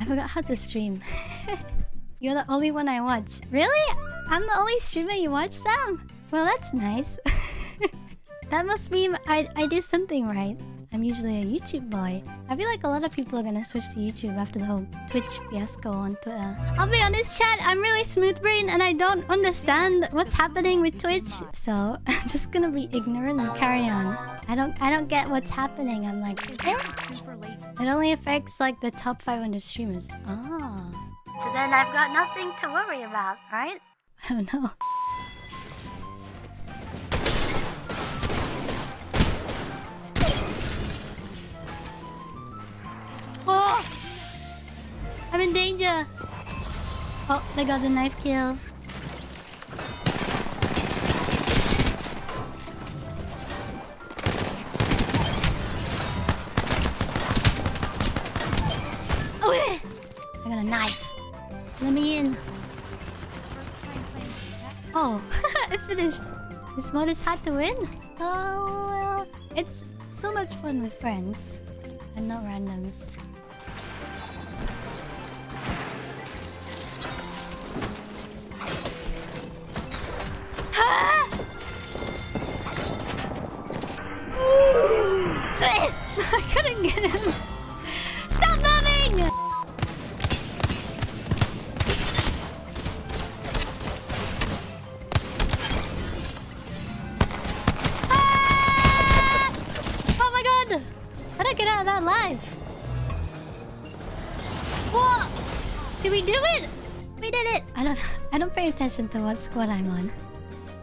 I forgot how to stream. You're the only one I watch. Really? I'm the only streamer you watch, Sam? Well, that's nice. that must mean I, I did something right. I'm usually a YouTube boy. I feel like a lot of people are gonna switch to YouTube after the whole Twitch fiasco on Twitter. Uh, I'll be honest, Chad. I'm really smooth brain and I don't understand what's happening with Twitch. So I'm just gonna be ignorant and carry on. I don't I don't get what's happening. I'm like, It only affects like the top 500 streamers. Ah. Oh. So then I've got nothing to worry about, right? Oh no. Oh! I'm in danger! Oh, they got the knife kill. I got a knife. Let me in. Oh, I finished. This mod is hard to win. Oh, well. It's so much fun with friends and not randoms. I couldn't get him. Stop moving! Ah! Oh my god! how did I get out of that alive? Whoa! Did we do it? We did it! I don't I don't pay attention to what squad I'm on.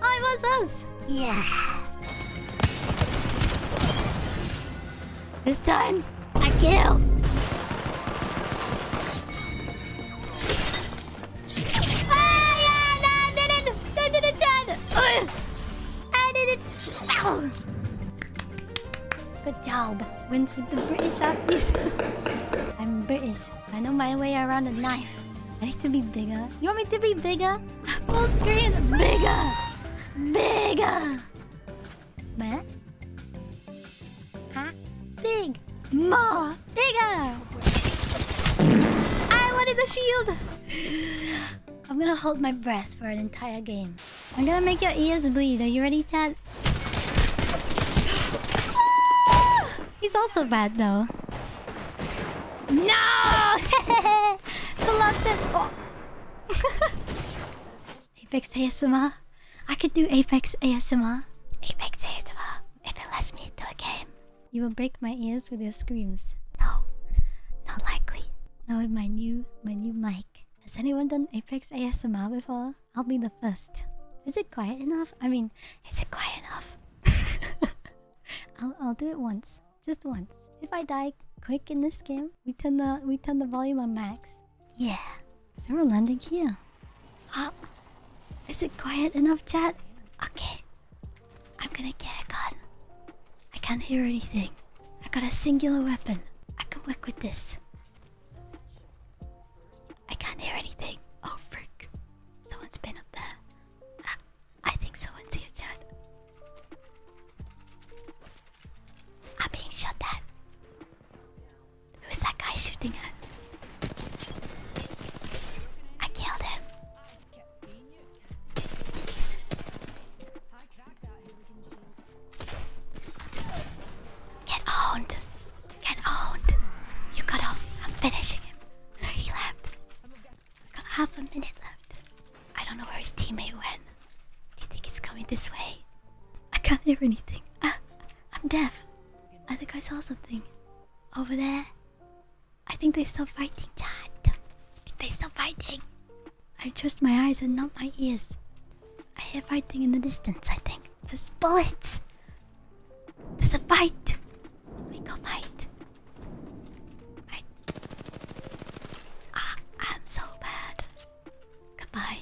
Oh, I was us! Yeah. This time, I kill! Ah, yeah, no, I did it! I did it, Chad! I did it! Good job. Wins with the British obvious. I'm British. I know my way around a knife. I need to be bigger. You want me to be bigger? Full screen! Bigger! Bigger! What? Huh? Big! More! Bigger! I wanted the shield! I'm gonna hold my breath for an entire game. I'm gonna make your ears bleed. Are you ready, Chad? He's also bad, though. No! Selected. oh. Apex ASMR. I could do Apex ASMR. Apex ASMR. If it lets me do a game. You will break my ears with your screams. No, not likely. Now with my new my new mic. Has anyone done Apex ASMR before? I'll be the first. Is it quiet enough? I mean, is it quiet enough? I'll I'll do it once, just once. If I die quick in this game, we turn the we turn the volume on max. Yeah. Is there a landing here. Oh, is it quiet enough, Chad? Okay, I'm gonna get a gun. I can't hear anything. I got a singular weapon. I can work with this. I can't hear anything. Oh freak! Someone's been up there. Ah, I think someone's here, Chad. I'm being shot at. Who's that guy shooting at? I killed him. Get owned! Get owned! You got off. I'm finishing him. He left. Got half a minute left. I don't know where his teammate went. Do you think he's coming this way? I can't hear anything. Ah, I'm deaf. I think I saw something. Over there. I think they are still fighting, chat. They still fighting. I trust my eyes and not my ears. I hear fighting in the distance, I think. There's bullets. There's a fight. We go fight. Ah, I'm so bad. Goodbye.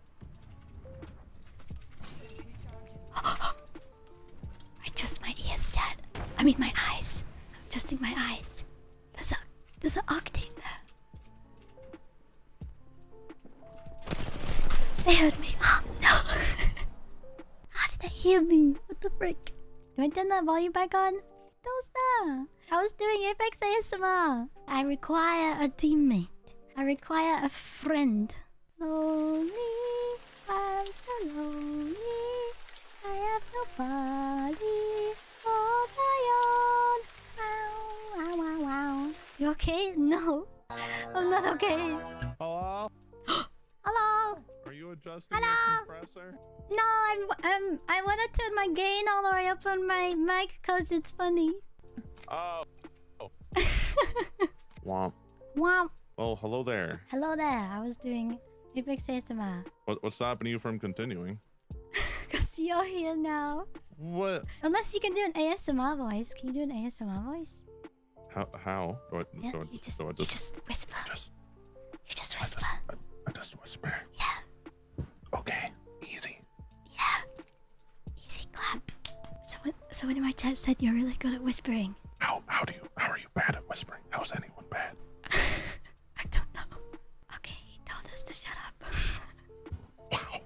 I just my ears, Dad. I mean my eyes. I'm adjusting my eyes. There's a there's an octane there. They heard me. Oh, no! How did they hear me? What the freak? Do I turn that volume back on? Don't Those I was doing Apex ASMR. I require a teammate. I require a friend. Lonely, I'm so lonely. I have nobody all my own. Wow, wow, You okay? No, I'm not okay. Hello. Hello. Are you adjusting Hello? the compressor? No, I'm. I want to turn my gain all the way up on my mic Cause it's funny. Oh. oh. Womp. Womp. Well, hello there. Hello there. I was doing Apex ASMR. What, what's stopping you from continuing? Because you're here now. What? Unless you can do an ASMR voice. Can you do an ASMR voice? How? How? just, you just whisper. you just whisper. I just whisper. Yeah. Okay, easy. Yeah, easy clap. Someone, someone in my chat said you're really good at whispering. How how do you how are you bad at whispering? How is anyone bad? I don't know. Okay, he told us to shut up. wow.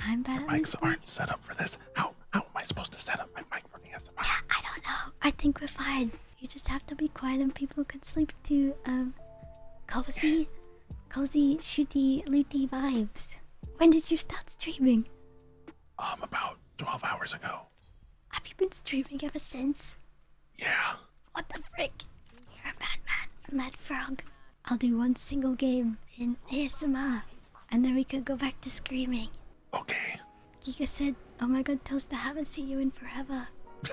I'm bad. My mics aren't set up for this. How how am I supposed to set up my mic Yeah, I don't know. I think we're fine. You just have to be quiet and people can sleep to um cozy cozy shooty looty vibes. When did you start streaming? Um about twelve hours ago. Have you been streaming ever since? Yeah. What the frick? You're a madman, a mad frog. I'll do one single game in ASMR and then we could go back to screaming. Okay. Giga said, Oh my god, Toast, I haven't seen you in forever.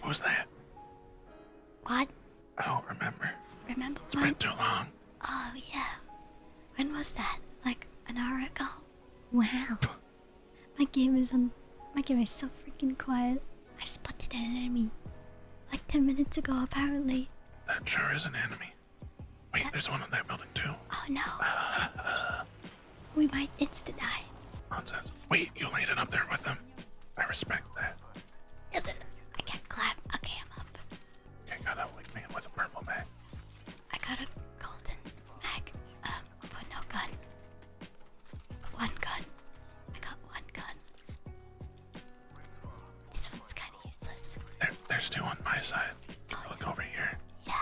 What was that? What? I don't remember. Remember what? It's been too long. Oh, yeah. When was that? Like an hour ago? Wow. my game is on. My game is so freaking quiet. I have spotted an enemy. Like 10 minutes ago, apparently. That sure is an enemy. Wait, there's one on that building, too. Oh, no. We might insta die. Nonsense. Wait, you landed up there with them. I respect that. No, I can't climb. Okay, I'm up. Okay, got a wingman with a purple mag. I got a golden mag. Um, but no gun. One gun. I got one gun. This one's kind of useless. There, there's two on my side. Oh, look over here. Yeah.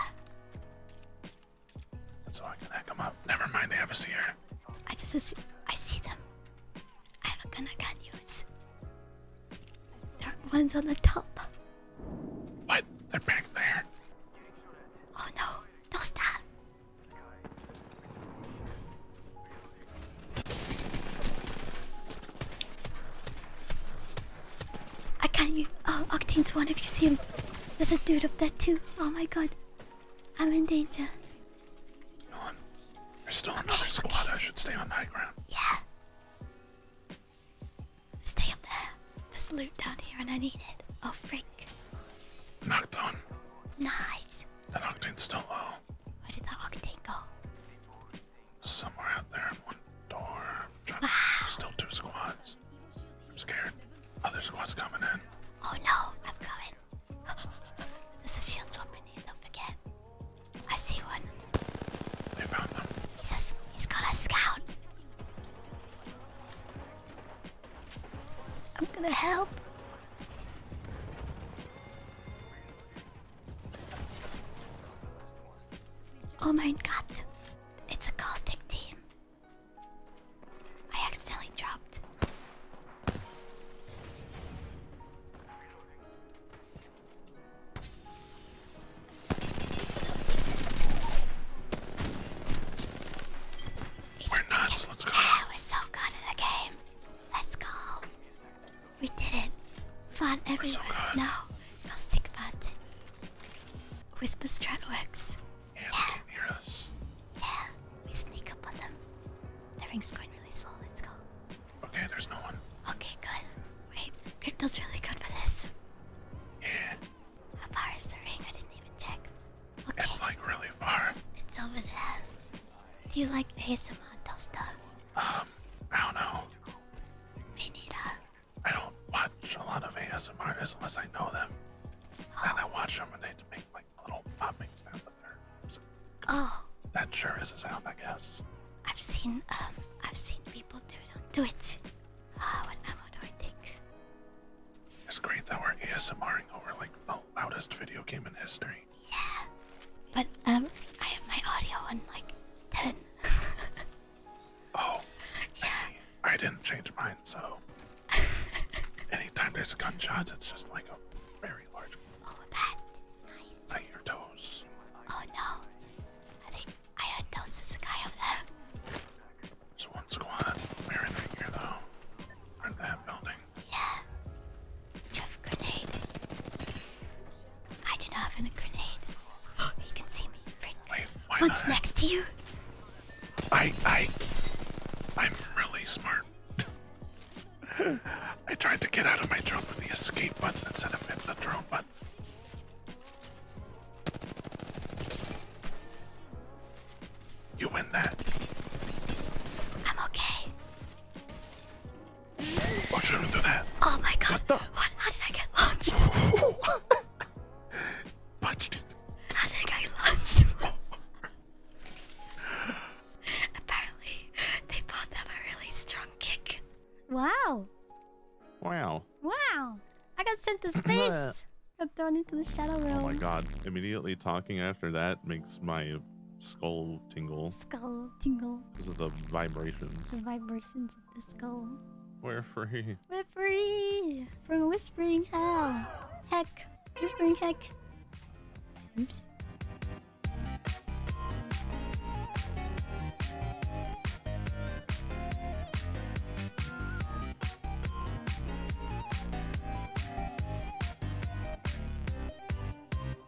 So I can hack them up. Never mind, they have a seer. I just see, I see them. I have a gun I can't use. Dark one's on the top. What? They're back there. Oh no, don't stop. I can't you. Oh, Octane's one if you see him. There's a dude up there too. Oh my god. I'm in danger. No one. There's still another squad. I should stay on high ground. Yeah. Stay up there. There's loot down here and I need it. Oh, freak! Knocked on. Nice. That Octane's still low. Where did that Octane go? Somewhere out there. One door. still two squads. I'm scared. Other squad's coming in. Oh no, I'm coming. There's a shield swap in here, don't forget. I see one. They found them. he's got a scout. I'm gonna help. Oh my god. It's a caustic team. I accidentally dropped. we're nuts, let we're so good at the game. Let's go. We did it. Fun everywhere. no, caustic fun. Whisper strat works. Yeah, yeah. we sneak up on them. The ring's going really slow, let's go. Okay, there's no one. Okay, good. Wait, crypto's really good for this. Yeah. How far is the ring? I didn't even check. Okay. It's like really far. It's over there. Do you like ASMR though stuff? Um, I don't know. We need a. I don't watch a lot of ASM artists unless I know them. And I watch them when they make like little popping sound with their. oh. That sure is a sound, I guess. I've seen um I've seen people do it on Twitch. Ah, what ammo do I take? It's great that we're ASMRing over like the loudest video game in history. Yeah. But um I have my audio on like ten. Oh, yeah. I, I didn't change mine, so anytime there's gunshots, it's just like a very large. Oh, that nice. I hear toes. Oh no, I think I heard toes. There's a guy over there. There's one squad. We're in right here though. are in that building. Yeah. Do grenade? I do not have a grenade. you can see me. What's next to you? I I I'm really smart. I tried to get out of my drone with the escape button instead of hitting the drone button. You win that. I'm okay. Oh, shouldn't do that. Oh my god. What How did I get launched? what did How did I get launched? Apparently, they both have a really strong kick. Wow. Wow. Wow. I got sent to space. I'm thrown into the shadow realm. Oh my god. Immediately talking after that makes my skull tingle. Skull tingle, tingle. Because of the vibrations. The vibrations of the skull. We're free. We're free from whispering hell. Heck. Whispering heck. Oops.